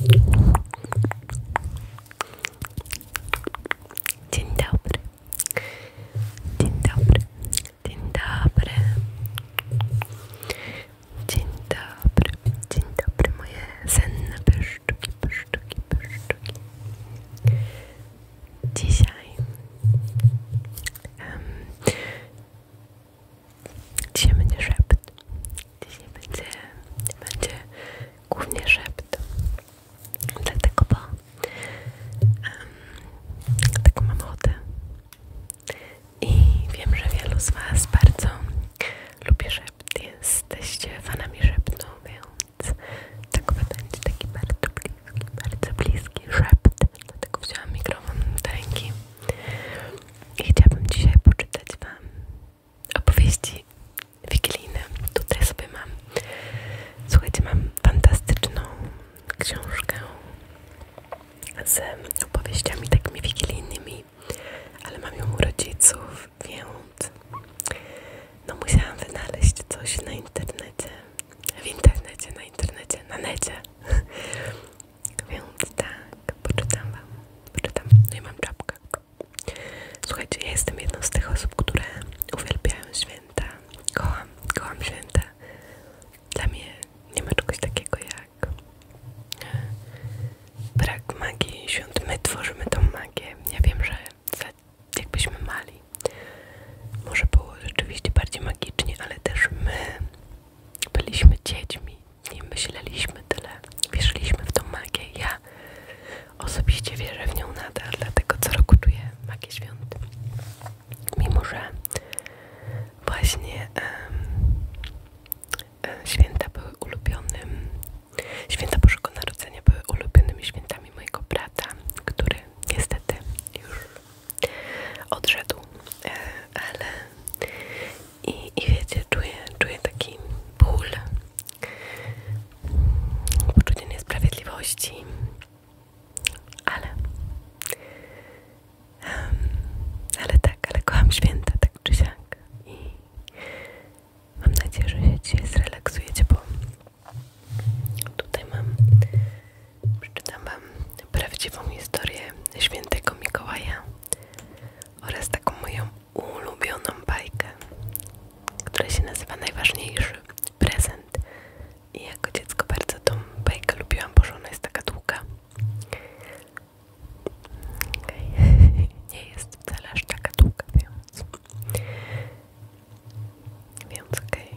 Dzień dobry. Dzień dobry. Dzień dobry. Dzień dobry. Dzień dobry moje senne pyszczki, pyszczki, pyszczki. Dzisiaj um, Dzisiaj będzie szept Dzisiaj będzie, będzie głównie szept. Dlatego, bo um, taką mam ochotę. I wiem, że wielu z Was bardzo lubi szept. Jesteście fanami szeptu, więc tak będzie taki bardzo bliski, bardzo bliski szept. Dlatego wziąłem mikrofon do ręki. I chciałabym dzisiaj poczytać Wam opowieści wigilijne. Tutaj sobie mam. Słuchajcie, mam fantastyczną książkę z opowieściami takimi wigilijnymi, ale mam ją rodziców, więc no musiałam wynaleźć coś na internecie. W internecie, na internecie, na necie. Więc tak, poczytam wam. Poczytam. No i mam czapkę. Słuchajcie, ja jestem jedną z tych osób, które uwielbiają święta. Kocham, kocham święta. Dla mnie nie ma czegoś takiego jak e, brak magii świąt. My tworzymy tą magię. Ja wiem, że jakbyśmy mali, może było rzeczywiście bardziej magicznie, ale też my byliśmy dziećmi nie myśleliśmy tyle, wierzyliśmy w tą magię. Ja osobiście wierzę w nią nadal, dlatego co roku czuję magię świąt. Mimo, że właśnie e, święta były ulubionym, święta Bożego Narodzenia były ulubionymi świętami mojego brata, który niestety już odszedł, e, ale i, i wiecie, czuję, czuję taki ból, poczucie niesprawiedliwości, ale, ale tak, ale kocham święta, tak czy siak. I mam nadzieję, że się zrelaksujecie, bo tutaj mam, przeczytam Wam prawdziwą historię świętego Mikołaja oraz taką moją ulubioną bajkę, która się nazywa Najważniejszy Prezent. I jako dziecko bardzo tą bajkę lubiłam, bo ona jest taka długa. Okay. Nie jest wcale aż taka długa, więc... Więc okej.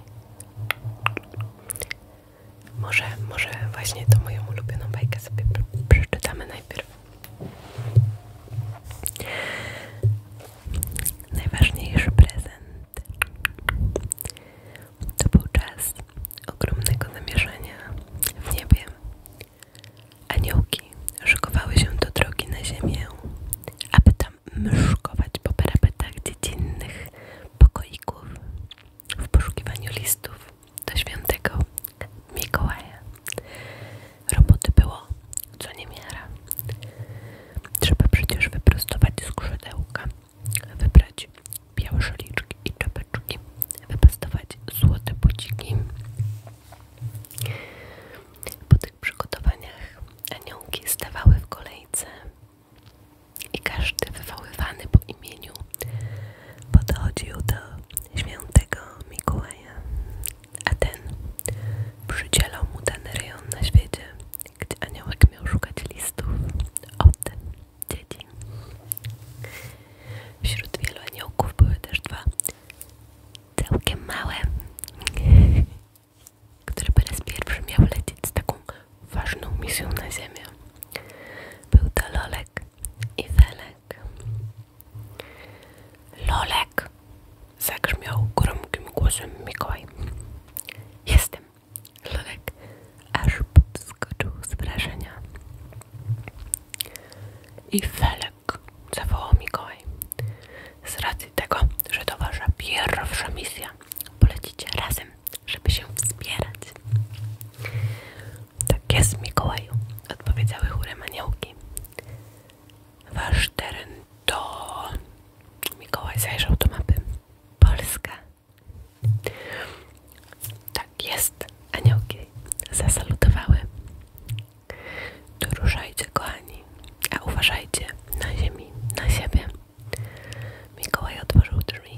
Może, może właśnie tą moją ulubioną bajkę sobie przeczytamy najpierw. Najważniejszy prezent to był czas ogromnego zamierzenia w niebie. Aniołki szykowały się do drogi na ziemię, aby tam mszkować po parapetach dziecinnych pokoików w poszukiwaniu listów do świętego Mikołaja. Roboty było co niemiara. Trzeba przecież wyprostować skrzydełka, wybrać białe szaliczki i czapeczki, wypastować złote buciki. Po tych przygotowaniach aniołki stawały w kolejce i każdy wywoływany po imieniu podchodził do świętego Mikołaja, a ten przydzielał mu ten rejon na świecie, gdzie aniołek miał szukać listów od dzieci. Wśród wielu aniołków były też dwa całkiem małe, które po raz pierwszy miał lecieć z taką ważną misją na ziemię. Był to Lolek i Felek. Lolek. Lolek! Zagrzmiał gromkim głosem Mikołaj. Jestem! Lolek aż podskoczył z wrażenia. I Felek, zawołał Mikołaj. Z racji tego, że to wasza pierwsza misja, polecicie razem, żeby się wspierać. Tak jest, Mikołaju, odpowiedziały chórem aniołki. Wasz teren to... Mikołaj zajrzał do mapy. Polska. Tak jest, aniołki zasalutowały. Doruszajcie, kochani, a uważajcie na ziemi, na siebie. Mikołaj otworzył drzwi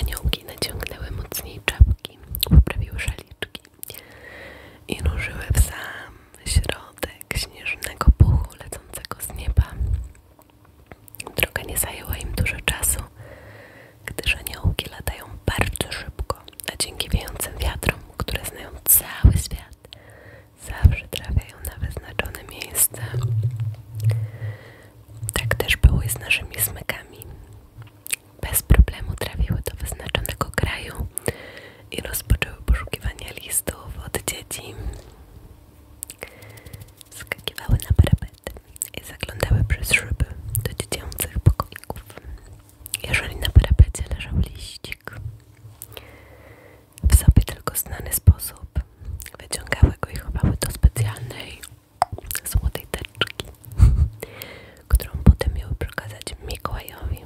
Aniołki naciągnęły mocniej czapki, poprawiły szaliczki i ruszyły w sam środek śnieżnego puchu lecącego z nieba. Droga nie zajęła im dużo czasu, gdyż aniołki latają bardzo szybko, a dzięki wiejącym wiatrom, które znają cały świat, zawsze trafiają na wyznaczone miejsca. Tak też było z naszymi smykami bez problemu trafiły do wyznaczonego kraju i rozpoczęły poszukiwanie listów od dzieci. Skakiwały na parapety i zaglądały przez szyby do dziecięcych pokoików. Jeżeli na parapetie leżał liścik, w sobie tylko znany sposób, wyciągały go i chowały do specjalnej złotej teczki, którą potem miały przekazać Mikołajowi.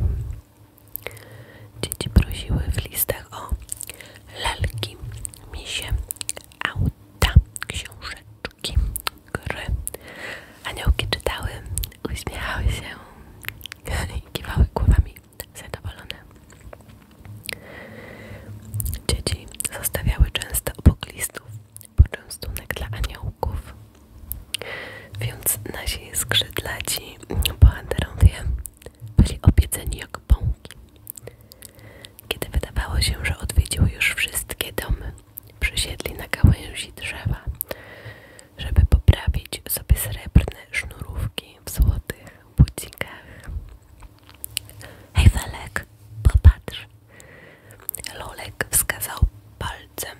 Dzieci prosiły w listach o lalki, misie, auta, książeczki, gry. Aniołki czytały, uśmiechały się i kiwały głowami zadowolone. Dzieci zostawiały często obok listów poczęstunek dla aniołków. Więc nasi skrzydlaci bohaterowie byli obiedzeni jak bąki. Kiedy wydawało się, że odwiedziło już wszystkie domy, przysiedli na gałęzi drzewa, żeby poprawić sobie srebrne sznurówki w złotych bucikach. Hej Felek, popatrz! Lolek wskazał palcem.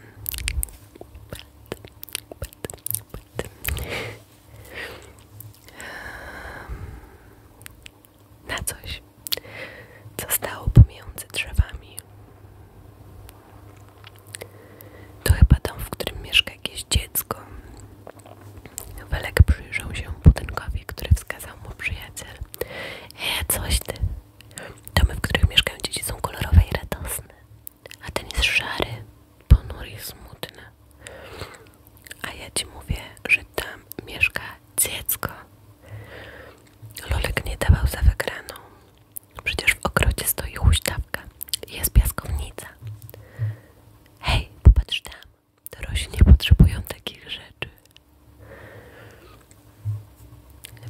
Na coś, co stało pomiędzy drzewami. To chyba dom, w którym mieszka jakieś dziecko. Welek przyjrzał się budynkowi, który wskazał mu przyjaciel. Ej coś ty. Domy, w których mieszkają dzieci są kolorowe i radosne. A ten jest szary, ponury i smutny. A ja ci mówię, że tam mieszka dziecko. Lolek nie dawał za wygraną. Przecież w ogrodzie stoi huśtawka i jest piaskownica. Hej, popatrz tam. Dorośli nie potrzebują takich rzeczy.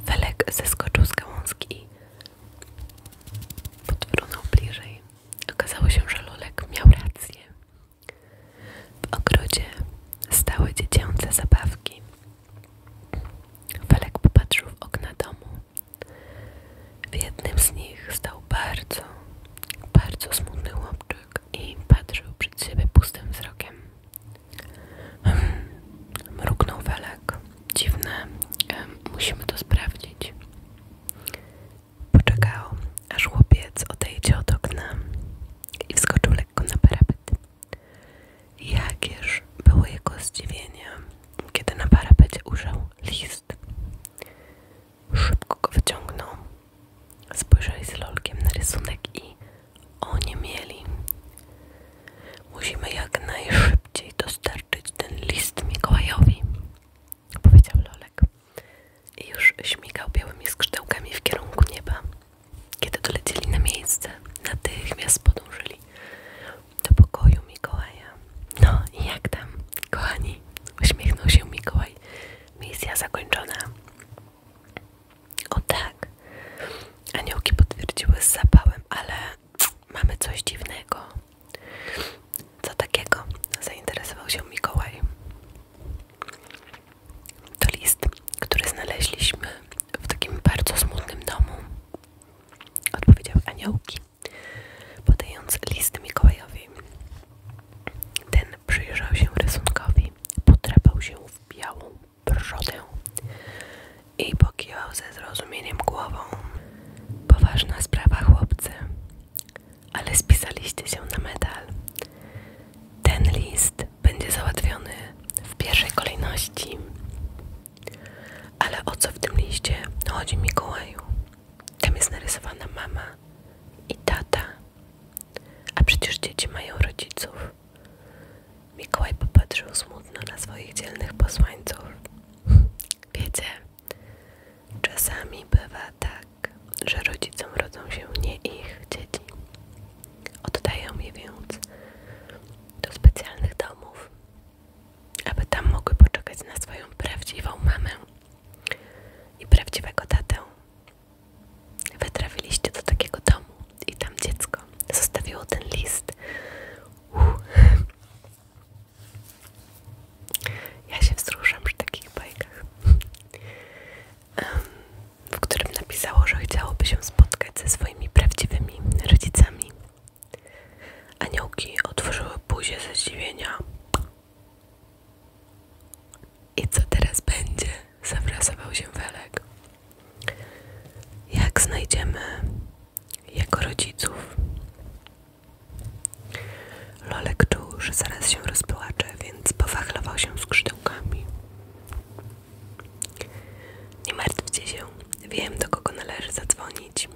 Felek zeskoczył z gałązki i podwrócił bliżej. Okazało się, że Lolek miał rację. W ogrodzie stały dziecięce zabawki. Felek popatrzył w okna domu. W jednym z nich stał bardzo, bardzo smutny chłopczyk i patrzył przed siebie pustym wzrokiem. Hmm. Mruknął Welek. Dziwne, musimy to sprawdzić. Poczekał, aż chłopiec odejdzie od okna i wskoczył lekko na parapet. Jakież było jego zdziwienie, kiedy na parapecie ujrzał list. Szybko go wyciągnął, Spojrzeli z lolkiem na rysunek i oni mieli. Musimy jak najszybciej dostarczyć ten list Mikołajowi, powiedział Lolek. I już śmigał białymi skrzydełkami w kierunku nieba. Kiedy dolecieli na miejsce, natychmiast podążyli do pokoju Mikołaja. No i jak tam, kochani? Uśmiechnął się Mikołaj. Misja zakończona. O tak. Aniołki potwierdziły z zapałem, ale mamy coś dziwnego. Co takiego? Zainteresował się Mikołaj. To list, który znaleźliśmy w takim bardzo smutnym domu. Odpowiedział aniołki, podając list Mikołajowi. Ten przyjrzał się rysunkowi, potrapał się w białą brodę i pokiwał ze zrozumieniem głową. Poważna sprawa, chłopcy, ale spisaliście się na medal. Ten list będzie załatwiony w pierwszej kolejności. Ale o co w tym liście chodzi Mikołaju? Tam jest narysowana mama i tata a przecież dzieci mają rodziców. Mikołaj popatrzył smutno na swoich dzielnych posłańców. Wiecie, czasami bywa tak, że rodzicom rodzą się nie ich dzieci. Oddają je więc do specjalnych domów, aby tam mogły poczekać na swoją prawdziwą mamę i prawdziwego tatę. Wy do takiego domu i tam dziecko zostawiło ten list. Ja się wzruszam przy takich bajkach, w którym napisało, że chciałoby się spotkać ze swoimi prawdziwymi rodzicami. Aniołki otworzyły buzię ze zdziwienia. I co teraz będzie? Zawrasował się Welek. Jak znajdziemy jego rodziców? Lolek czuł, że zaraz się rozpłacze, więc powachlował się skrzydełkami. Nie martwcie się, wiem do kogo należy zadzwonić.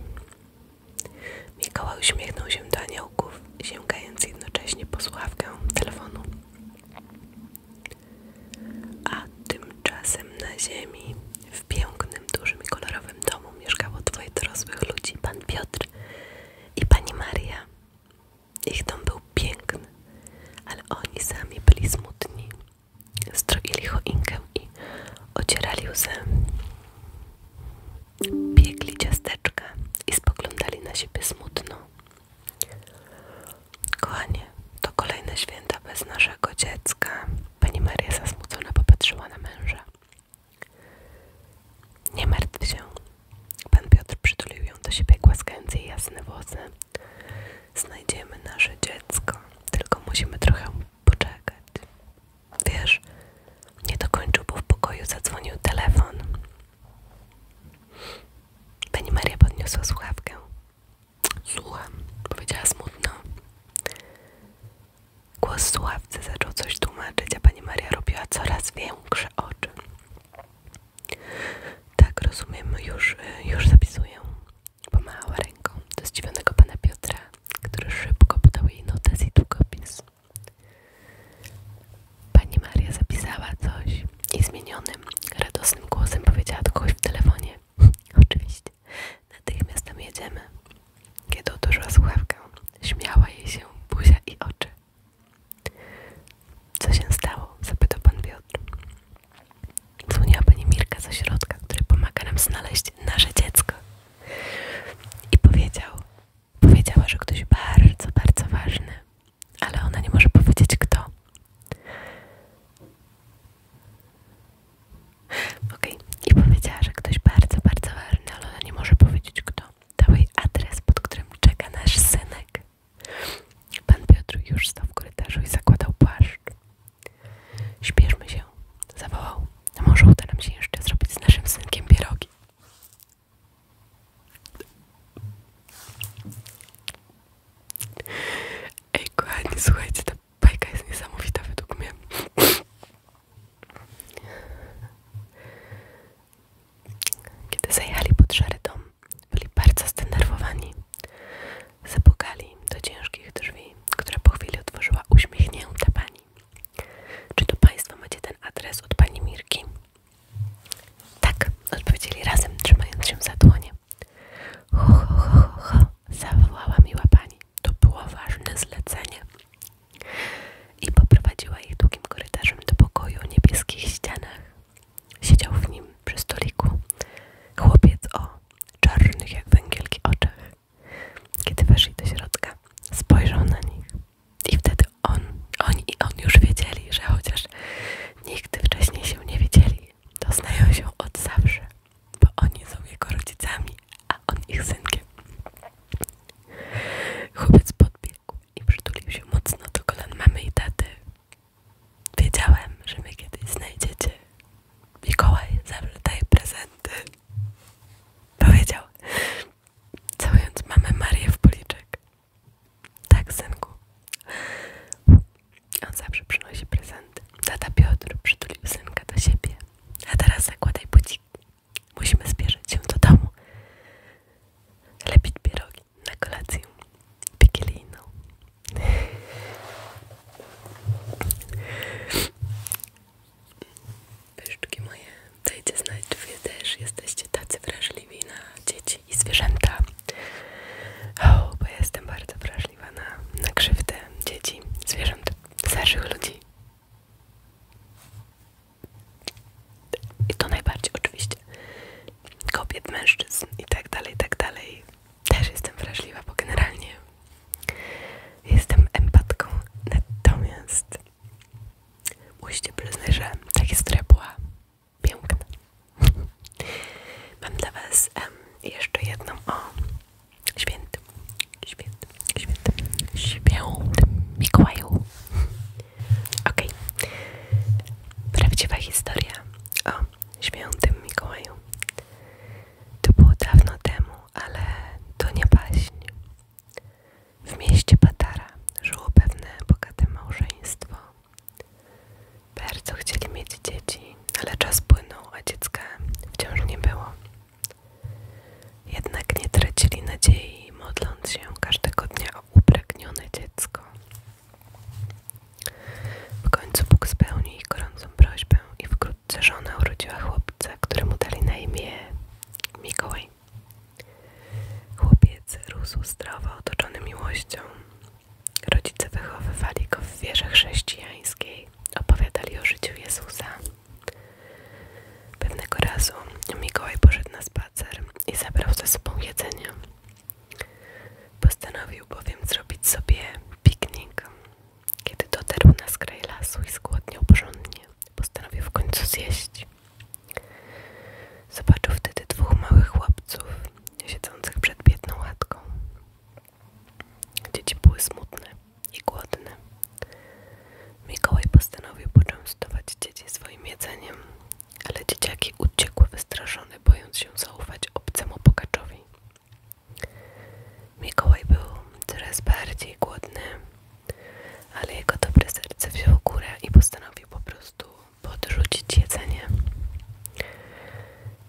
Mikołaj uśmiechnął się do aniołków, sięgając jednocześnie po słuchawkę telefonu. A tymczasem na ziemi, w pięknym, dużym i kolorowym domu mieszkało dwoje dorosłych ludzi, pan Piotr i pani Maria. Ich dom był piękny, ale oni sami byli smutni. Stroili choinkę i ocierali łzy. Biegli ciasteczka i spoglądali na siebie smutno. Kochanie, to kolejne święta bez naszego dziecka. Pani Maria zasmucona popatrzyła na męża. Nie martw się. Pan Piotr przytulił ją do siebie, głaskając jej jasne włosy. Znajdziemy nasze dziecko, tylko musimy trochę poczekać. Wiesz, nie dokończył, bo w pokoju zadzwonił telefon. Pani Maria podniosła słuchawkę. Słucham, powiedziała smutno. Głos słuchawcy zaczął coś tłumaczyć, a pani Maria robiła coraz większe oczy. Tak, rozumiem, już, y, już zapisuję. Pomachała ręką do zdziwionego pana Piotra, który szybko podał jej notes i długopis. Pani Maria zapisała coś i zmienionym, radosnym głosem powiedziała do kogoś w telefonie. Oczywiście. Natychmiast tam jedziemy. Kiedy odłożyła słuchawkę, śmiała jej się buzia i oczy. Co się stało? zapytał pan Piotr. Dzwoniła pani Mirka z ośrodka, który pomaga nam znaleźć nasze dziecko. I powiedział, powiedziała, że ktoś bardzo, bardzo ważny ale ona nie może powiedzieć kto. Okej, okay. i powiedziała, że ktoś bardzo, bardzo ważny, ale ona nie może powiedzieć kto. Dał jej adres, pod którym czeka nasz synek. Pan Piotr już stał w korytarzu i zakładał płaszcz. Śpieszmy się, zawołał. Może uda nam się jeszcze zrobić z naszym synkiem pierogi. Ej kochani, słuchajcie, ta bajka jest niesamowita według mnie. Kiedy zajechali pod szary dom, byli bardzo zdenerwowani. Zapukali do ciężkich drzwi, które po chwili otworzyła uśmiechnięta pani. Czy to państwo macie ten adres od pani Mirki? Tak, odpowiedzieli razem, trzymając się za dłonie. Ho, ho, ho, ho, zawołała miła pani. To było ważne zlecenie. I poprowadziła ich długim korytarzem do pokoju o niebieskich ścianach. Siedział w nim przy stoliku chłopiec o czarnych jak węgielki oczach. Kiedy weszli do środka, spojrzał na nich, i wtedy on, on i on już wiedzieli, że chociaż nigdy wcześniej się nie wiedzieli, to znają się od zawsze, bo oni są jego rodzicami, a on ich synkiem. Chłopiec podbiegł i przytulił się mocno do kolan mamy i taty. Wiedziałem, że mnie kiedyś znajdziecie. Mikołaj zawsze daje prezenty. Powiedział, całując mamę Marię w policzek. Tak, synku. On zawsze przynosi prezenty. Tata Piotr przytulił synka do siebie. A teraz zakładaj bucik. Musimy zbierzeć się do domu. Lepić pierogi na kolację wigilijną. Pyszczki moje. Dajcie znać, czy wy też jesteście tacy wrażliwi na dzieci i zwierzęta. O, bo jestem bardzo wrażliwa na, na krzywdę dzieci, zwierząt, starszych ludzi. I to najbardziej oczywiście kobiet, mężczyzn i tak dalej, i tak dalej. Też jestem wrażliwa, bo generalnie jestem empatką. Natomiast Musicie przyznać, że ta historia była piękna. Mam dla Was jeszcze jedną o świętym, świętym, świętym, świętym Mikołaju. Okej. Okay. Prawdziwa historia o świętym Mikołaju. To było dawno temu, ale to nie baśń. W mieście Patara żyło pewne bogate małżeństwo. Bardzo chcieli mieć dzieci, ale czas płynął, a dziecka wciąż nie było. Jednak nie tracili nadziei, modląc się każdego dnia o upragnione dziecko. W końcu Bóg spełnił ich gorącą prośbę i wkrótce żona urodziła chłopca, któremu dali na imię Mikołaj. Chłopiec rósł zdrowo, otoczony miłością. Rodzice wychowywali go w wierze chrześcijańskiej, opowiadali o życiu Jezusa. Pewnego razu Mikołaj poszedł na spacer i zabrał ze sobą jedzenie. Postanowił bowiem zrobić sobie piknik. Kiedy dotarł na skraj lasu i zgłodniał porządnie, postanowił w końcu zjeść. Zobaczył wtedy dwóch małych chłopców siedzących przed biedną łatką. Dzieci były smutne i głodne. Mikołaj postanowił poczęstować dzieci swoim jedzeniem, ale dzieciaki uciekły wystraszone, bojąc się zaufać obcemu pokaczowi. Mikołaj był coraz bardziej głodny ale jego dobre serce wziął górę i postanowił po prostu podrzucić jedzenie.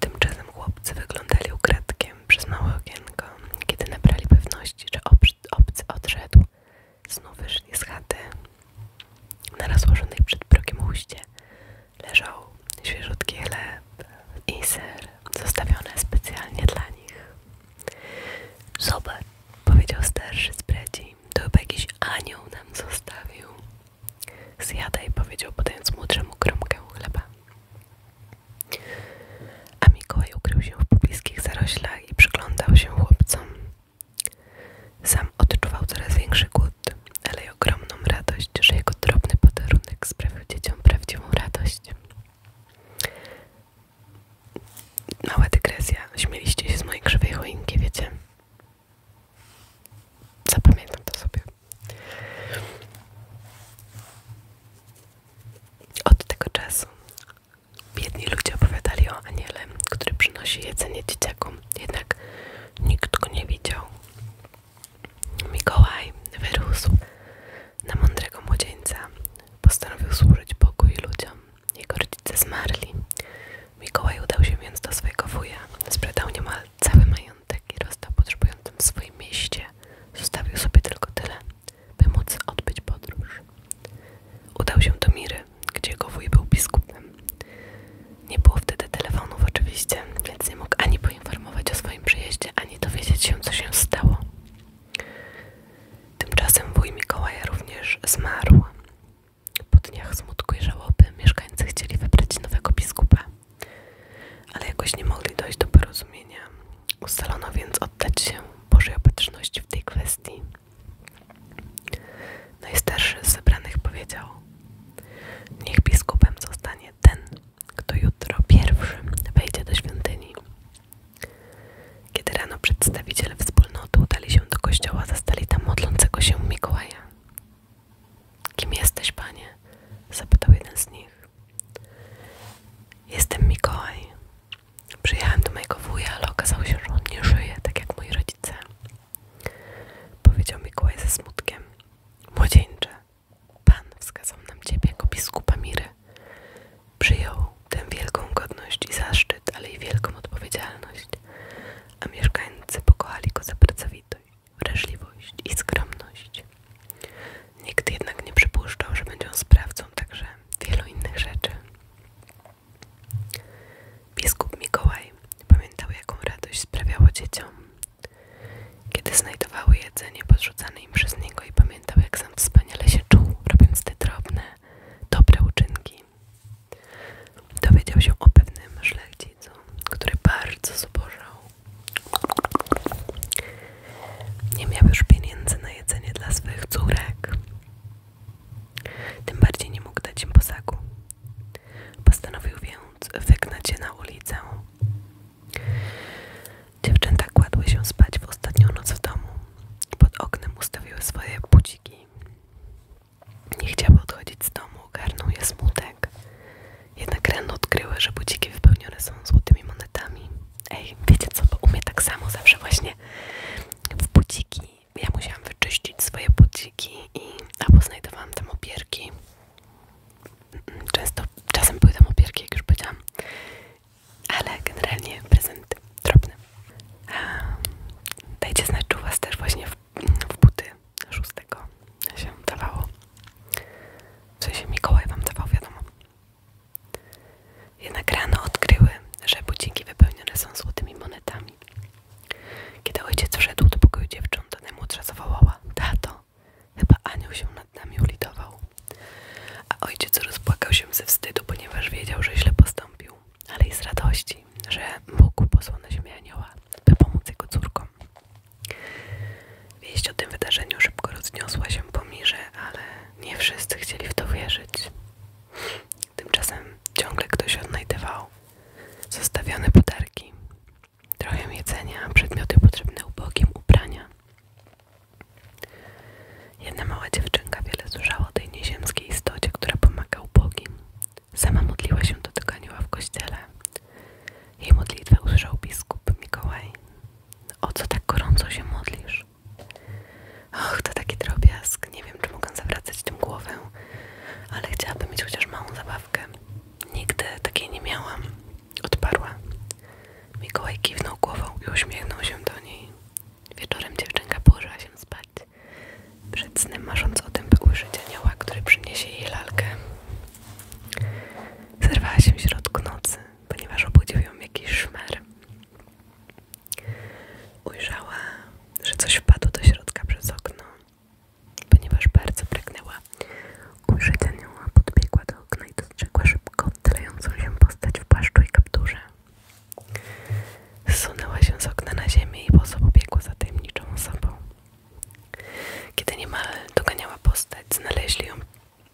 Tymczasem chłopcy wyglądali ukradkiem przez małe okienko. Kiedy nabrali pewności, że obcy odszedł, znów wyszli z chaty. Na rozłożonej przed progiem huście leżał świeżutki chleb i ser, zostawione specjalnie dla nich. Zobacz, powiedział starszy z bredzi. Ej, to chyba jakiś anioł nam zostawił. Zjadaj, powiedział, podając młodszemu kromkę chleba. A Mikołaj ukrył się w pobliskich zaroślach i przyglądał się chłopcom. Sam odczuwał coraz większy głód, ale i ogromną radość, że jego drobny podarunek sprawił dzieciom prawdziwą radość. Mała dygresja. Śmieliście się z mojej krzywej choinki, wiecie? Zapamiętam to sobie. Od tego czasu biedni ludzie opowiadali o aniele, który przynosi jedzenie dzieciakom. Jednak nikt go nie widział. Mikołaj wyrósł na mądrego młodzieńca. Postanowił służyć Bogu i ludziom. Jego rodzice zmarli. Mikołaj udał się więc do swojego wuja. Sprzedał niemal cały majątek i rozdał potrzebującym w swoim mieście. Zostawił sobie tylko tyle, by móc odbyć podróż. Udał się do Miry, gdzie jego wuj był biskupem. Nie było wtedy telefonów oczywiście, więc nie mógł ani poinformować o swoim przyjeździe, ani dowiedzieć się, co się stało. Tymczasem wuj Mikołaja również zmarł. Po dniach smutku i żałoby mieszkańcy chcieli wybrać nowego biskupa, ale jakoś nie mogli dojść do porozumienia. Ustalono więc oddać się Bożej Opatrzności w tej kwestii. Najstarszy z zebranych powiedział: Niech biskupem zostanie ten, kto jutro pierwszy wejdzie do świątyni kiedy rano przedstawiciele wspólnoty udali się do kościoła, zastali tam modlącego się Mikołaja. Kim jesteś, panie? zapytał jeden z nich. Jestem Mikołaj. Przyjechałem do mojego wuja, ale okazało się, że on nie żyje, tak jak moi rodzice. Powiedział Mikołaj ze smutkiem. Młodzieńcze, pan wskazał nam ciebie jako biskupa Miry. Przyjął tę wielką godność i zaszczyt, ale i wielką odpowiedzialność, a mieszkańcy pokochali go za pracowitość, wrażliwość i skromność. Nikt jednak nie przypuszczał, że będzie on sprawcą także wielu innych rzeczy. Biskup Mikołaj pamiętał, jaką radość sprawiało dzieciom, kiedy znajdowały jedzenie podrzucane im przez niego i pamiętał, jak sam wspaniale się czuł, robiąc te drobne, dobre uczynki. Dowiedział się o pewnym szlachcicu, który bardzo zubożał. Nie miał już pieniędzy na jedzenie dla swych córek. Tym bardziej nie mógł dać im posagu. Postanowił więc wygnać je na ulicę. Dziewczęta kładły się spać w ostatnią noc w domu. Pod oknem ustawiły swoje budziki. Nie chciały odchodzić z domu, ogarnął je smutek. Jednak rano odkryły, że budziki wypełnione są złotymi monetami. Ej, wiecie co, bo u tak samo zawsze właśnie w budziki. Ja musiałam wyczyścić swoje budziki i albo znajdowałam tam opierki. Mm, mm, często, czasem były tam opierki, jak już powiedziałam ale generalnie prezent drobny. Dajcie znać, czy u Was też właśnie w, w buty 6 się dawało. W sensie Mikołaj Wam dawał, wiadomo. Jednak rano odkryły, że buciki wypełnione są złotymi monetami. Kiedy ojciec wszedł do pokoju dziewcząt, najmłodsza zawołała Tato, chyba anioł się nad nami ulitował. A ojciec rozpłakał się ze wstydu, ponieważ wiedział, że źle postąpił ale i z radości, że Bóg posłał na anioła, by pomóc jego córkom. Wieść o tym wydarzeniu szybko rozniosła się pomiże, ale nie wszyscy chcieli w to wierzyć. Tymczasem ciągle ktoś odnajdywał zostawione podarki, trochę jedzenia, przedmioty potrzebne ubogim, ubrania. Jedna mała dziewczynka wiele słyszała tej nieziemskiej istocie, która pomaga ubogim. Sama modliła się do tego anioła w kościele. Jej modlitwę usłyszał biskup Mikołaj. O co tak gorąco się modlisz? Och, to taki drobiazg. Nie wiem, czy mogę zawracać tym głowę, ale chciałabym mieć chociaż małą zabawkę. Nigdy takiej nie miałam. Odparła. Mikołaj kiwnął głową i uśmiechnął się do niej. Wieczorem dziewczynka położyła się spać, przed snem marząc o tym, by ujrzeć anioła, który przyniesie jej lalkę. Zerwała się w środku nocy, ponieważ obudził ją jakiś szmer. Ujrzała, że coś wpadło do środka przez okno, ponieważ bardzo pragnęła ujrzeć anioła, podbiegła do okna i dostrzegła szybko tylejącą się postać w płaszczu i kapturze. Zsunęła się z okna na ziemię i boso pobiegła za tajemniczą osobą. Kiedy niemal doganiała postać, znaleźli ją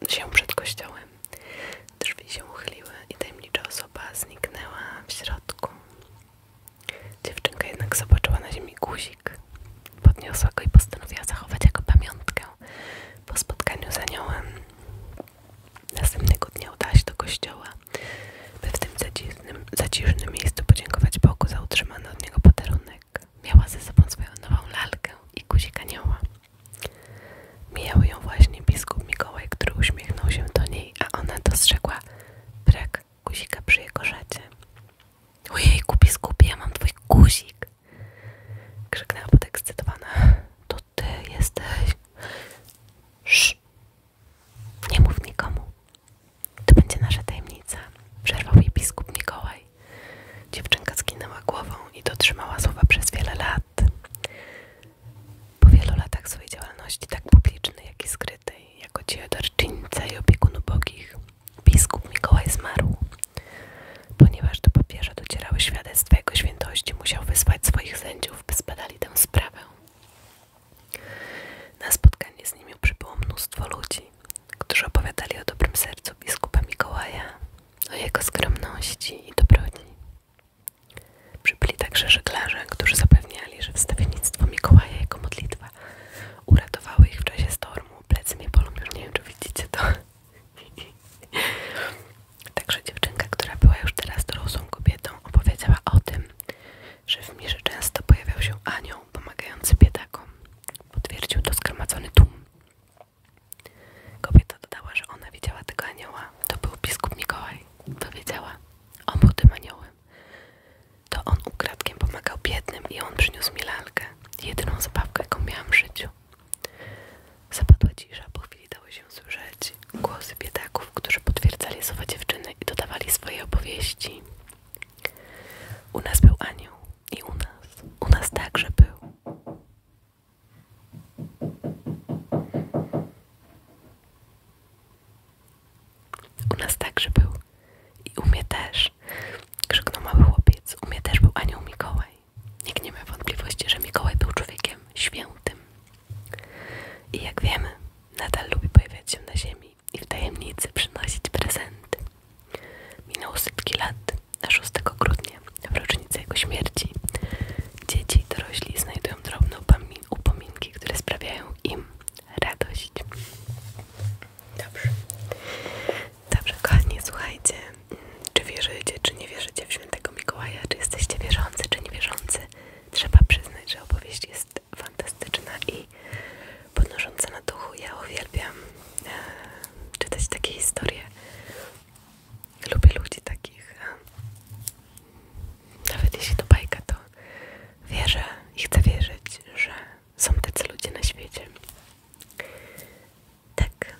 się przed kościołem. Drzwi się uchyliły i tajemnicza osoba zniknęła w środku. Dziewczynka jednak zobaczyła na ziemi guzik. Podniosła go i postanowiła zachować jako pamiątkę po spotkaniu z aniołem. Następnego dnia udać do kościoła, by w tym zacisznym, miejscu podziękować Bogu za utrzymany od niego podarunek. Miała ze sobą swoją nową lalkę i guzik anioła. Mijał ją właśnie biskup Mikołaj, który uśmiechnął się do niej, a ona dostrzegła brak guzika przy jego szacie. Ojejku, biskupie, ja mam twój guzik! Krzyknęła podekscytowana. To ty jesteś. Sz. Nie mów nikomu. To będzie nasza tajemnica. Przerwał jej biskup Mikołaj. Dziewczynka skinęła głową i dotrzymała słowa przez wiele lat. Po wielu latach swojej działalności, tak publicznej, jak i skrytej, jako dziejodarczyńca i opiekun bogich, biskup Mikołaj zmarł, ponieważ do papierze docierały świadectwa jego świętości, musiał wysłać swoich sędziów, by zbadali tę sprawę. Na spotkanie z nimi przybyło mnóstwo ludzi, którzy opowiadali o dobrym sercu biskupa Mikołaja, o jego skromności i dobroci. Przybyli także żeglarze, którzy zapewniali, że wstawiennictwo Mikołaja i jego modlitwa uratowały ich w czasie stormu. Plecy mnie bolą, już nie wiem czy widzicie to. Także dziewczynka, która była już teraz dorosłą kobietą, opowiedziała o tym, że w mirze często pojawiał się anioł pomagający biedakom. Potwierdził to zgromadzony tłum. Kobieta dodała, że ona widziała tego anioła. To był biskup Mikołaj. Powiedziała, on był tym aniołem. To on ukradkiem pomagał biednym i on przyniósł mi lalkę. Jedyną zabawkę, jaką miałam w życiu. Zapadła cisza, po chwili dało się słyszeć głosy biedaków, którzy potwierdzali słowa dziewczyny i dodawali swoje opowieści. U nas był anioł i u nas, u nas także był. U nas także był i u mnie też, krzyknął mały chłopiec, u mnie też był anioł Mikołaj. Nikt nie ma wątpliwości, że Mikołaj był człowiekiem świętym. I jak wiemy, nadal lubi pojawiać się na ziemi i w tajemnicy przynosić prezenty. Minęło setki lat, a 6 grudnia, w rocznicę jego śmierci, dzieci i dorośli znajdują drobne upominki, które sprawiają im radość. Dobrze. Dobrze, kochani, słuchajcie czy wierzycie, czy nie wierzycie w świętego Mikołaja, czy jesteście wierzący, czy nie wierzący? Trzeba przyznać, że opowieść jest fantastyczna i podnosząca na duchu. Ja uwielbiam e, czytać takie historie. Lubię ludzi takich. E, nawet jeśli to bajka, to wierzę i chcę wierzyć, że są tacy ludzie na świecie. Tak,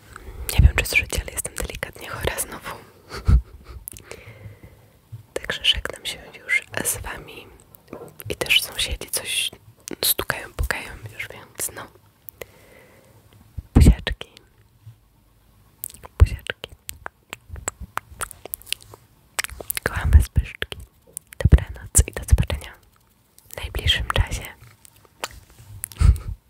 nie wiem czy słyszycie, ale jestem delikatnie chora znowu. Także żegnam się już z wami i też sąsiedzi coś stukają, pukają już, więc no. Buziaczki. Buziaczki. Kocham was pyszczki. Dobranoc i do zobaczenia w najbliższym czasie.